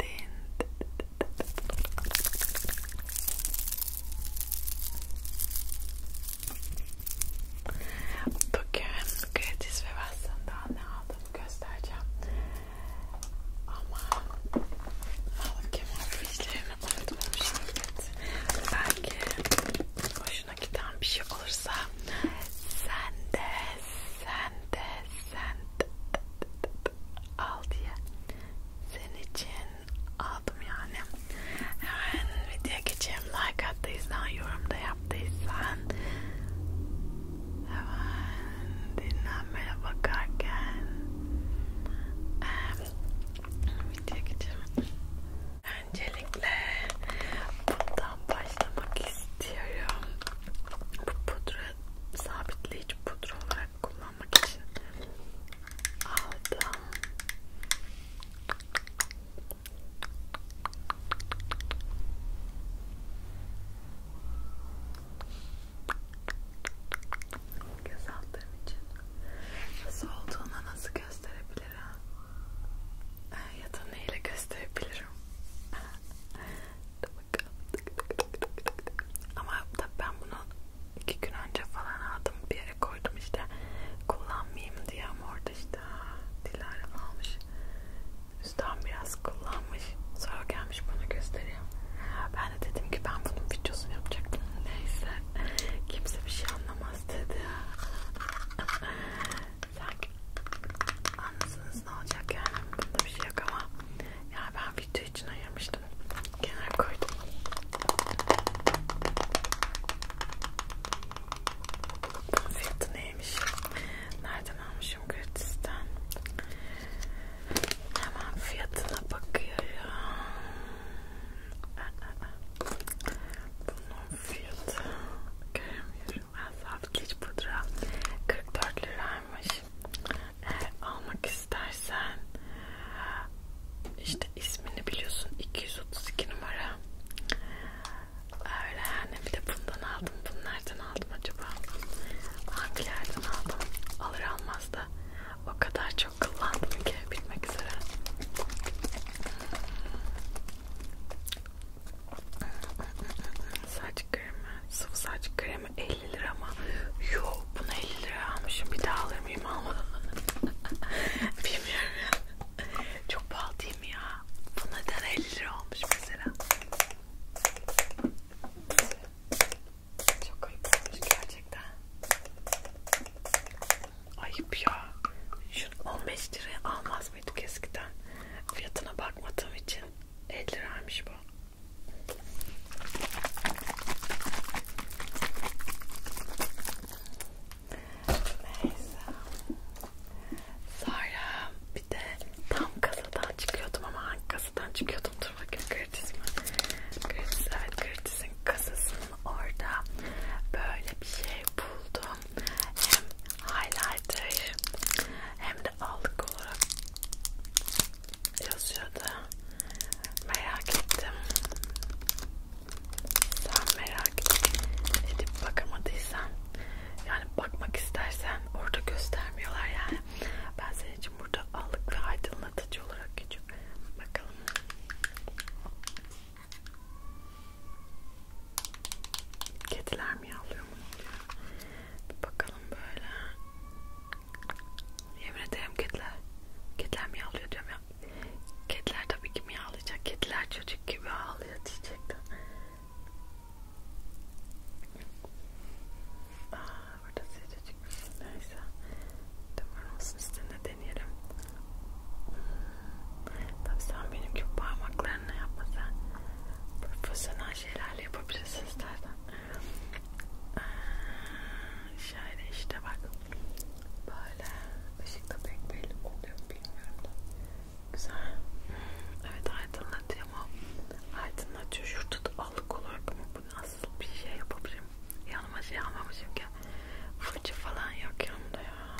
din. Bugün gratis ve basından ne aldığımı göstereceğim. Ama malum ki işlerini unutmamıştım. Belki hoşuna giden bir şey olursa sen de sen de sen de, al diye senin için aldım yani. Hemen videoya geçeyim. Like attıysan, yorumda yaptıysan hemen dinlenmeye bakarken videoya geçeyim. Öncelikle bundan başlamak istiyorum. Bu pudra sabitleyici pudra olarak kullanmak için aldım. Göz altlarım için nasıl olduğunu nasıl gösterebilirim? Ee, ya da neyle gösterebilirim? Dur Bak. Ama tabii ben bunu iki gün önce falan aldım bir yere koydum işte kullanmayayım diye ama orada işte Dilara almış üstten biraz kullanmış sonra gelmiş bana gösteriyor ben de dedim ki ben bunun videosunu yapacaktım neyse kimse bir şey anlamaz dedi sanki anlasanız ne olacak yani bunda bir şey yok ama ya ben video olduğu için ayırmıştım. Kenar koydum. Bunun fiyatı neymiş? Nereden almışım gratisten? Hemen fiyatına bakıyorum. Bunun fiyatı göremiyorum. Ben sabit pudra 44 liraymış. Eğer almak istersen işte ismini biliyorsun 232 numara öyle yani bir de bundan aldım bunlardan aldım acaba hangilerden aldım alır almaz da o kadar çok kullandım ki bitmek üzere saç kremi sıvı saç kremi 50 lira ama yok bunu 50 lira almışım bir daha alır mıyım ama bilmiyorum ya çok pahalı değil mi ya bu neden 50 lira olmuş mesela çok ayıp olmuş gerçekten ayıp ya şunu 15 liraya almaz mıydık eskiden fiyatına bakmadığım için 50 liraymış bu Neyse. Sonra bir de tam kasadan çıkıyordum ama hangi kasadan çıkıyordum? Dur bakayım Curtis mi? Curtis, evet Curtis'in kasasının orada böyle bir şey buldum. Hem highlighter hem de allık olarak yazıyordu. Merak ettim. Sen merak edip bakamadıysan yani bakmak istersen orada göstermiyorlar yani. Ben senin için burada allık ve aydınlatıcı olarak geçiyorum. Bakalım. Kediler mi yavruyor mu? Bir bakalım böyle. Yemin ederim kediler. Kediler mi ağlıyor diyorum ya. Kediler tabii ki mi ağlayacak? Kediler çocuk gibi ağlıyor diyecektim. Aa, burada sıcacık bir şey. Neyse. Tamam olsun üstünde deneyelim. Hmm. Tabii sen benim gibi parmaklarını yapma sen. Profesyonel şeylerle yapabilirsin istersen. Şöyle işte bak böyle ışıkta pek belli oluyor bilmiyorum da güzel evet aydınlatıyor ama aydınlatıyor şurada da allık olarak ama bu nasıl bir şey yapabilirim yanıma şey almamışım ki fırça falan yok yanımda ya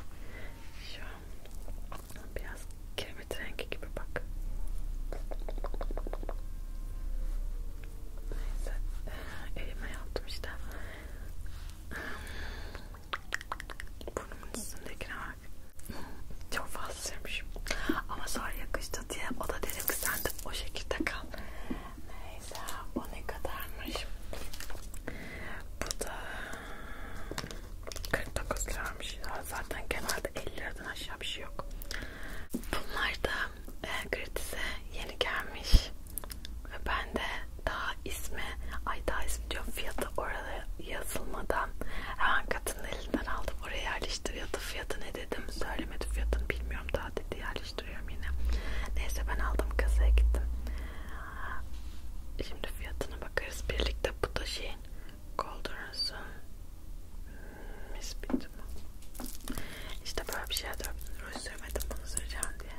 şu an biraz Kiremit rengi gibi bak. Neyse. E, elime yaptım işte. Burnumun üstündekine bak. Çok fazla sürmüşüm. Ama sonra yakıştı diye o da dedi ki sen de o şekilde kal. Neyse o ne kadarmış. Bu da 49 liraymış. Zaten genelde 50 liradan aşağı yapacağı bir şey yok. Bunlar da e, Gratis'e yeni gelmiş ve ben de daha ismi ay daha ismi diyorum fiyatı orada yazılmadan hemen kadının elinden aldım oraya yerleştiriyordu fiyatı ne dedim söylemedi fiyatını bilmiyorum daha dedi yerleştiriyorum yine neyse ben aldım kasaya gittim şimdi fiyatına bakarız birlikte bu da şeyin Koldurası mis bitti mi? İşte böyle bir şey de ruj sürmedim bunu süreceğim diye.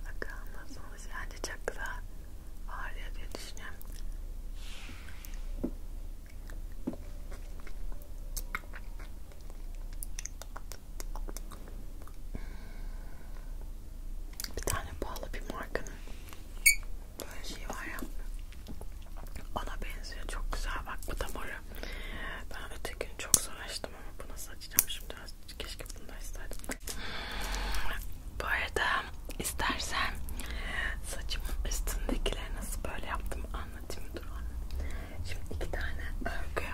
Bakalım nasıl olmuş. Bence çok güzel ağrıyor diye düşünüyorum bir tane pahalı bir markanın böyle şey var ya ona benziyor çok güzel bak bu da moru ben öteki gün çok zor açtım ama bu nasıl açacağım şimdi keşke bunu da isterdim bu arada istersen saçımın üstündekileri nasıl böyle yaptım anlatayım dur onu şimdi iki tane örgü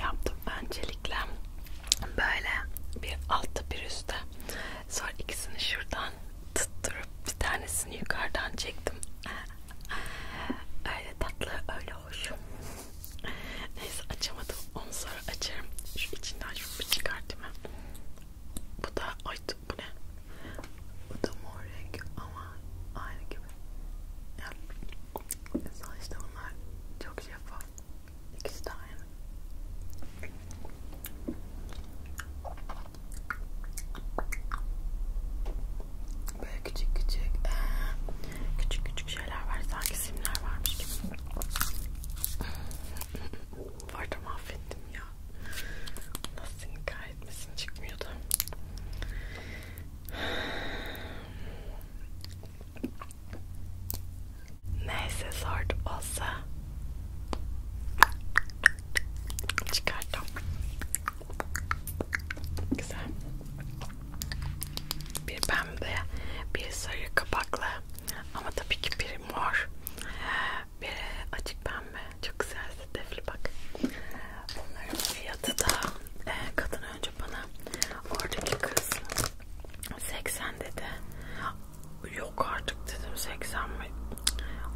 yaptım öncelikle böyle bir altta bir üstte sonra ikisini şuradan tutturup bir tanesini yukarıdan çektim öyle tatlı öyle hoş neyse açamadım onu sonra açarım şu içinden şunu çıkartayım bu da ay bu ne bu da mor renk ama aynı gibi ya, sonuçta bunlar çok şeffaf İkisi de aynı. Böyle küçük küçük küçük küçük şeyler var. Sanki simler varmış gibi. Bu arada mahvettim ya. Nasıl nikah etmesin çıkmıyordu. Neyse zor olsa çıkarttım. Güzel. Bir pembe, bir sarı kapaklı ama tabii ki biri mor, biri açık pembe. Çok güzel sedefli bak. Bunların fiyatı da e, kadın önce bana oradaki kız 80 dedi. Yok artık dedim 80 mi?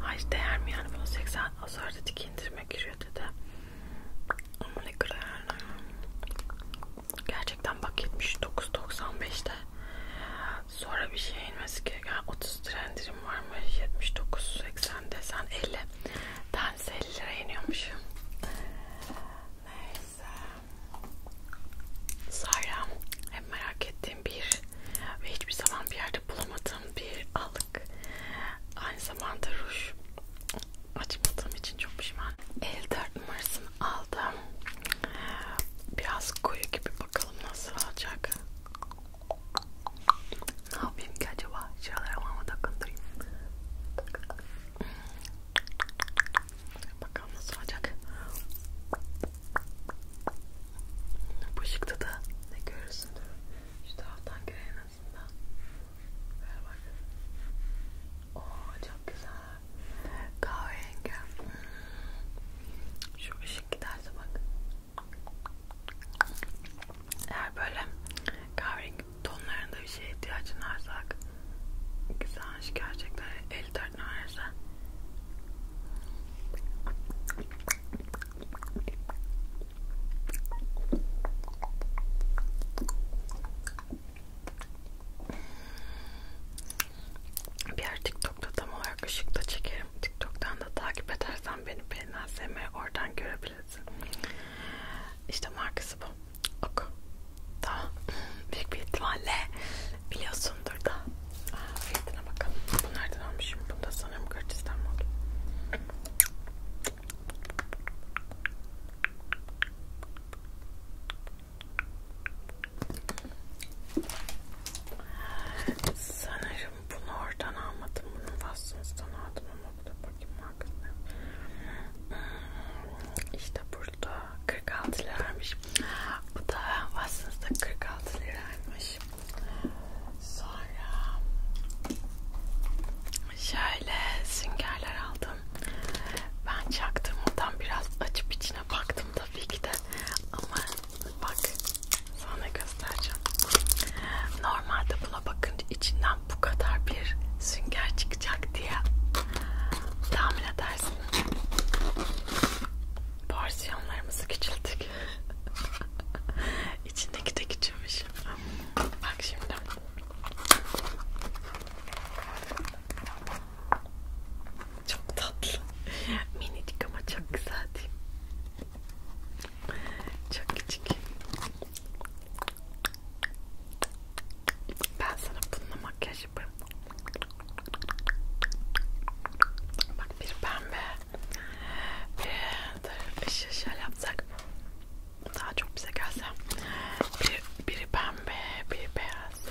Ay değer mi yani falan 80 azar dedi ki indirime giriyor dedi. Ama ne kadar Gerçekten bak 79.95'te. Sonra bir şey inmesi ki yani 30 lira indirim var mı? 79.80 desen 50. Tanesi 50 lira iniyormuş. Neyse. Sayram hem merak ettiğim bir ve hiçbir zaman bir yerde bulamadığım bir allık. Aynı zamanda ruj açmadığım için çok pişman. 54 numarasını aldım. Biraz koyu gibi bakalım nasıl olacak. Ne yapayım ki acaba? Şuralara mama takındırayım. Hmm. Bakalım nasıl olacak. Bu ışıkta da ne görürsündür. Şu taraftan göre en azından. Ver bak. Oo çok güzel. Kahverengi. Şu ışık giderse bak. Eğer böyle kahverengi tonlarında bir şeye ihtiyacın varsa güzel gerçekten el tadına varsa bir yer TikTok'ta tam olarak ışıkta çekerim. TikTok'tan da takip edersen beni beğenmezsem oradan görebilirsin. İşte markası bu. Oku. Tamam. Büyük bir ihtimalle biliyorsundur da. Aa, fiyatına bakalım. Bu nereden almışım? Bunu da sanırım Gürcistan oldu. Sanırım bunu oradan almadım. Bunun faslısından aldım ama bu da bakayım farkında. Ee, işte burada 46 liraymış. Bu da aslında 46 liraymış. Sonra şöyle süngerler aldım. Ben çaktım ondan biraz açıp içine baktım tabii ki de ama bak sana göstereceğim. Normalde buna bakınca içinde içinden bu kadar bir sünger çıkacak diye tahmin edersin. Porsiyonlarımızı küçülttük. İçindeki de küçülmüş. Bak şimdi. Çok tatlı. Minicik ama çok güzel değil mi? Çok küçük. Ben sana bununla makyaj yaparım. Bak bir pembe. Bir ışıl ışıl yapsak. Daha çok bize gelse. Bir, biri pembe, biri beyaz.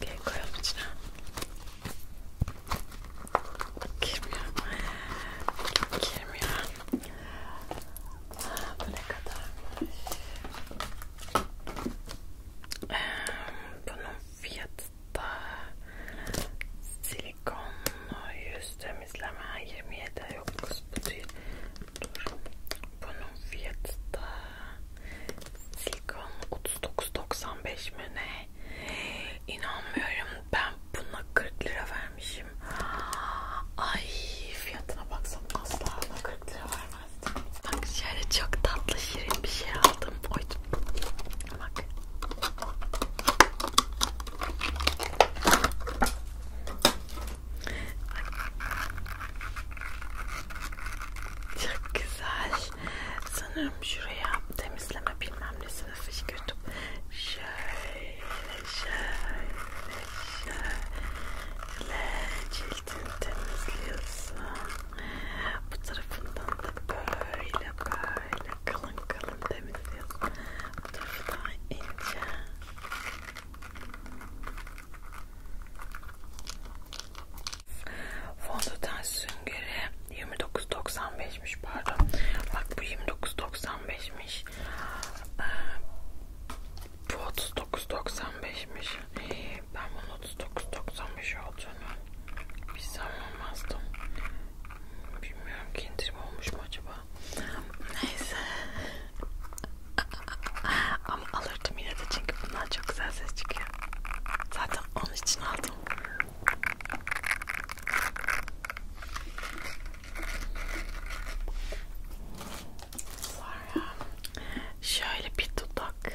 Gel koyalım içine. Girmiyor. Girmiyor. Bu ne kadarmış? Bunun fiyatı da silikonlu yüz temizleme 27 yok kız bu değil. Dur. Bunun fiyatı da silikon 39.95 mi ne? İnanmıyorum ben buna 40 lira vermişim. Ay fiyatına baksam asla buna 40 lira vermezdim. Bak şöyle çok tatlı şirin bir şey aldım. Oy, bak. Çok güzel. Sanırım şuraya temizleme bilmem nesi sınıfı gördüm. Şöyle, şöyle, şöyle cildini temizliyorsun. Bu tarafından da böyle, böyle kalın kalın temizliyorsun. Bu tarafı daha ince. Fondöten süngeri 29.95'miş pardon. Bak bu 29.95'miş. Bu 39.95'miş. Ben bunun 39.95 olduğunu bilsem olmazdım. Bilmiyorum ki indirim olmuş mu acaba? Neyse. Ama alırdım yine de çünkü bundan çok güzel ses çıkıyor. Zaten onun için aldım. Sonra şöyle bir dudak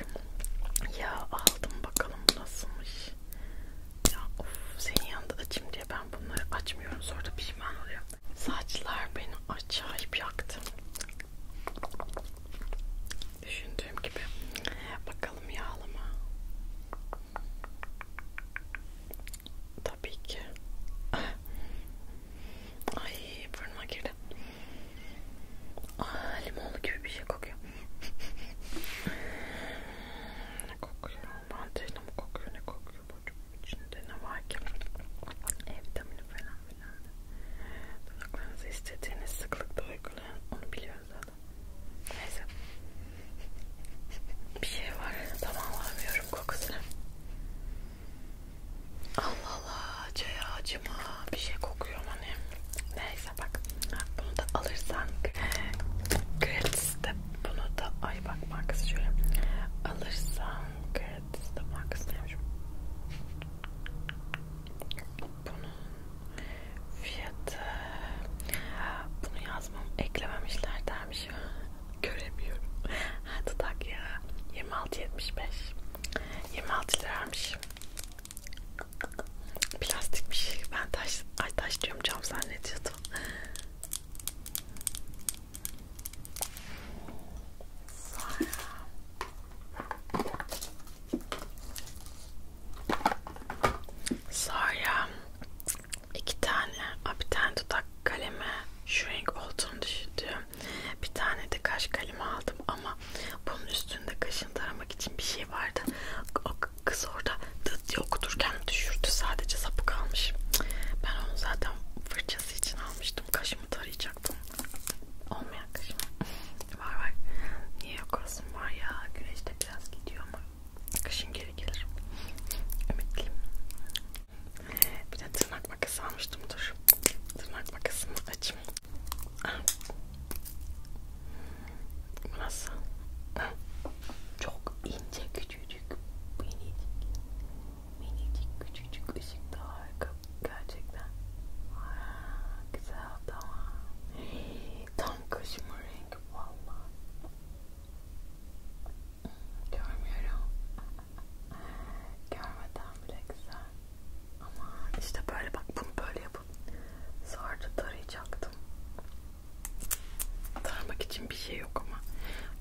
ya aldım bakalım nasılmış. Ya of senin yanında açayım diye ben bunları açmıyorum sonra da pişman oluyorum. Saçlar beni acayip yaktı. Düşündüğüm gibi. Bakalım yağlı mı? Tabii ki. Ah. Ay burnuma girdi. Aa, ah, limonlu gibi bir şey kokuyor. ne kokuyor? Mantıyla mı kokuyor? Ne kokuyor? Burcumun içinde ne var ki? E vitamini falan filan. Dudaklarınızı istediğiniz sıklıkta uygulayın. Onu biliyoruz zaten arada. Neyse. Bir şey var. Tamam alamıyorum kokusunu. Allah Allah. Çaya acıma. Bir şey kokuyor hani. Neyse bak. Bunu da alırsan Gratis'te bunu da ay bak markası şöyle. Alırsan Gratis'te markası neymiş? Bunu fiyatı bunu yazmam eklememişler dermiş göremiyorum ha dudak ya 26.75 26 liraymış plastikmiş ben taş ay taş diyorum cam zannediyordum Sonra Sonra iki tane, a, bir tane dudak kalemi şu renk olduğunu düşündüm. Bir tane de kaş kalemi aldım ama bunun üstünde kaşını taramak için bir şey vardı. O kız orada dıt okuturken düşürdü. Sadece sapı kalmış. Ben onu zaten fırçası için almıştım. Kaşımı tarayacaktım. Olmayan kaşım. var var. Niye yok olsun var ya. Güneşte biraz gidiyor ama Kışın geri gelir. Ümitliyim. Bir de tırnak makası almıştım. Dur. Tırnak makasını açayım. Nasıl? Çok ince küçücük. Minicik. Minicik küçücük ışık da harika. Gerçekten. Aa, güzel tamam. Tam kaşıma renk. Bulamadım valla. Görmüyorum. Görmeden bile güzel. Ama işte böyle bak bunu böyle yapıp sonra da tarayacaktım. Tarmak için bir şey yok ama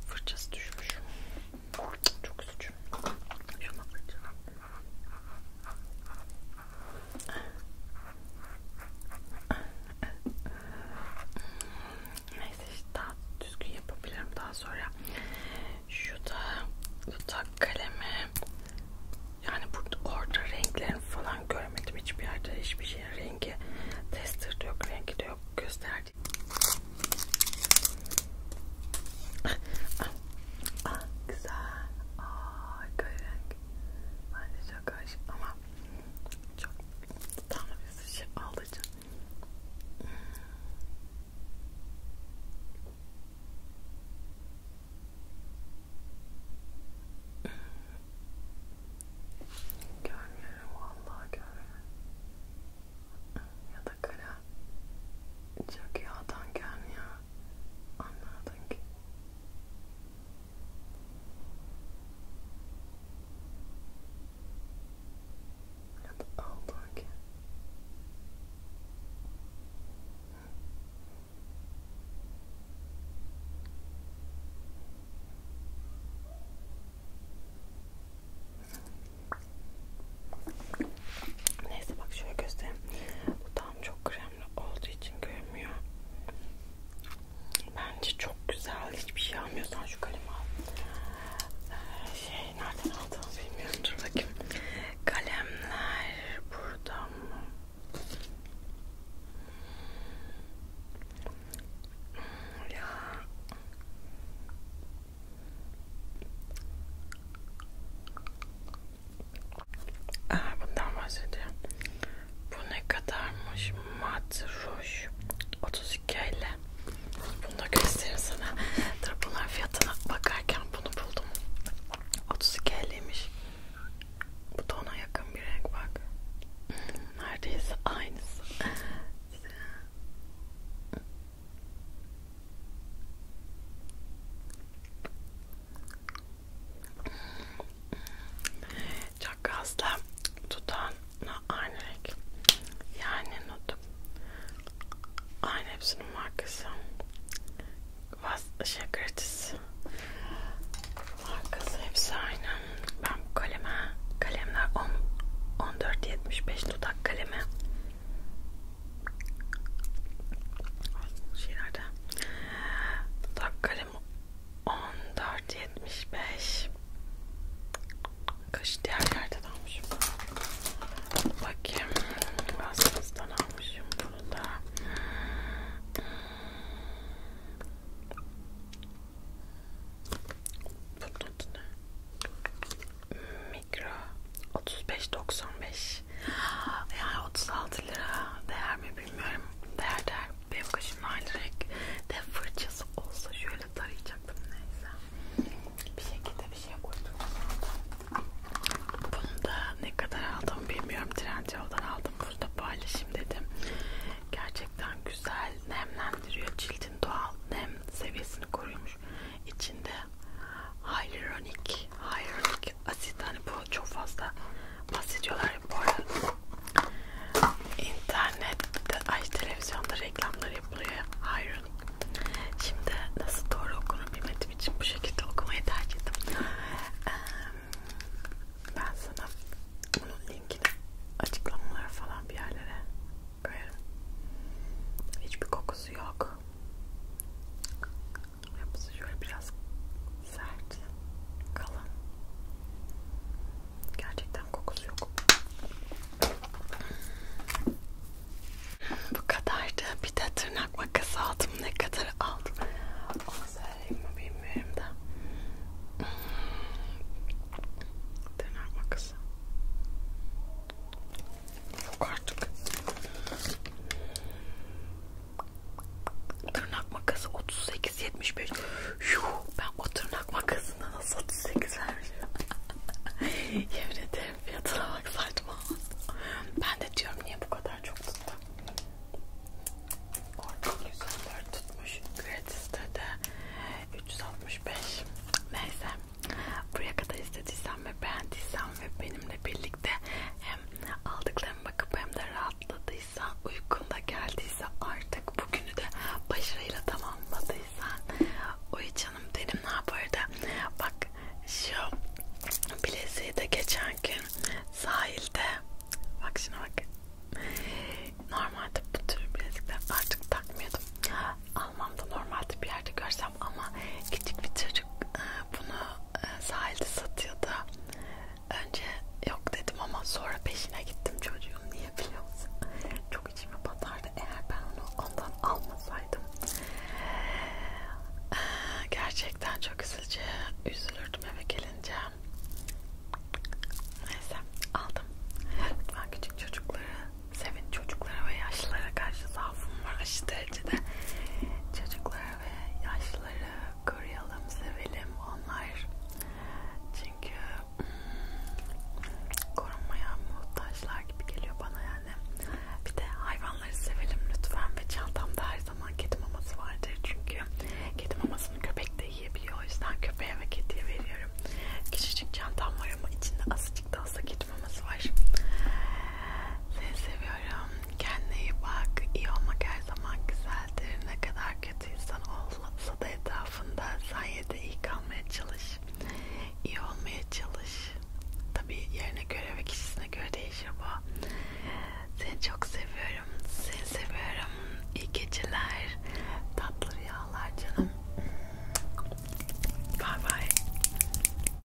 fırçası düşmüş. Çok üzücü. Şuna fırçalar. Neyse işte daha düzgün yapabilirim daha sonra. Şu da dudak kalemi. Yani burada orada renklerini falan görmedim hiçbir yerde hiçbir şeyin rengi tester de yok rengi de yok gösterdi. Aa, ah, ah, ah, güzel. Aa, renk. Bence çok hoş ama çok tam bir sıçı alıcı. Görmüyorum vallahi görmüyorum. Ya da kara çok yağdan gelmiyor. Anladın ki and out again. Neyse bak şöyle göstereyim. Bu tam çok krem camlı olduğu için görünmüyor. Bence çok güzel. Hiçbir şey almıyorsan şu kalemi al. Ee, şey nereden aldığımı bilmiyorum. Dur bakayım. Kalemler burada mı? Ya. Aa, bundan bahsediyorum. Bu ne kadarmış? Mat ruj 32 ile. Bunu da göstereyim sana. Dur bunların fiyatına bakarken bunu buldum. 32 liymiş. Bu da ona yakın bir renk bak. Neredeyse aynısı. Çok gazla dudağına aynı renk. Yani notum. Aynı hepsinin markası. Vaz şey gratis. Markası hepsi aynı. Ben bu kaleme kalemler 10 1475 dudak kalemi. Şeylerde Dudaklarım 14.75 Kaşı diğer yerden almışım. Bakayım. Basmas'tan almışım bunu da. Bunun adı ne? Mikro 35.95 yani 36 lira değer mi bilmiyorum. Değer değer. Benim kaşımda aynı renk de fırçası olsa şöyle tarayacaktım neyse. Bir şekilde bir şey koydum. Bunu da ne kadar aldım bilmiyorum. Trendyol'dan aldım. Burada paylaşayım dedim. Gerçekten güzel nemlendiriyor. Cildin doğal nem seviyesini koruyormuş. İçinde Hyaluronic, hyaluronic çünkü asit hani bu çok fazla bahsediyorlar ya bu arada internette ay televizyonda reklamlar yapılıyor hayır şimdi nasıl doğru okunur bilmediğim için bu şekilde okumayı tercih ettim ee, ben sana bunun linkini açıklamalar falan bir yerlere koyarım hiçbir kokusu yok yapısı şöyle biraz sert, kalın. Gerçekten kokusu yok. Bu kadardı. Bir de tırnak makası aldım. Ne kadar aldım? Onu söyleyeyim mi bilmiyorum da. Hmm. Tırnak makası. Yok artık. Tırnak makası 38.75. Yuh ben o tırnak makasına nasıl 38 vermişim. Yemin ederim fiyatına bak saçma. Ben de diyorum niye bu kadar çok tuttu. Orada 104 tutmuş. Gratis'te de 365. Neyse. Buraya kadar izlediysen ve beğendiysen ve benimle birlikte hem aldıklarıma bakıp hem de rahatladıysa, uykunda geldiyse artık bugünü de başarıyla tamamladıysan oy canım dedim ne yapardı? Bak şu bileziği de geçen gün sahilde bak şuna bak normalde bu tür bilezikler artık takmıyordum almamda normalde bir yerde görsem ama küçük bir çocuk ıı, bunu e, sahilde satıyordu. Önce yok dedim ama sonra peşine gittim çocuğun niye biliyor musun? Çok içime batardı eğer ben onu ondan almasaydım. E, gerçekten çok üzücü. Üzülürdüm eve gelince. Neyse aldım. Lütfen küçük çocukları sevin. Çocuklara ve yaşlılara karşı zaafım var aşı derecede. Çocuklara ve yaşları koruyalım, sevelim onlar. Çünkü hmm, korunmaya muhtaçlar gibi geliyor bana yani. Bir de hayvanları sevelim lütfen ve çantamda her zaman kedi maması vardır çünkü kedi mamasını köpek de yiyebiliyor. O yüzden köpeğe ve kediye veriyorum. Küçücük çantam var ama içinde azıcık da olsa kedi tutmamız var. Seni seviyorum. Kendine iyi bak. İyi olmak her zaman güzeldir. Ne kadar kötü insan olsa da etrafında sen yine de iyi kalmaya çalış. İyi olmaya çalış. Tabi yerine göre ve kişisine göre değişir bu. Seni çok seviyorum. Seni seviyorum. İyi geceler. Tatlı rüyalar canım. Bye bye.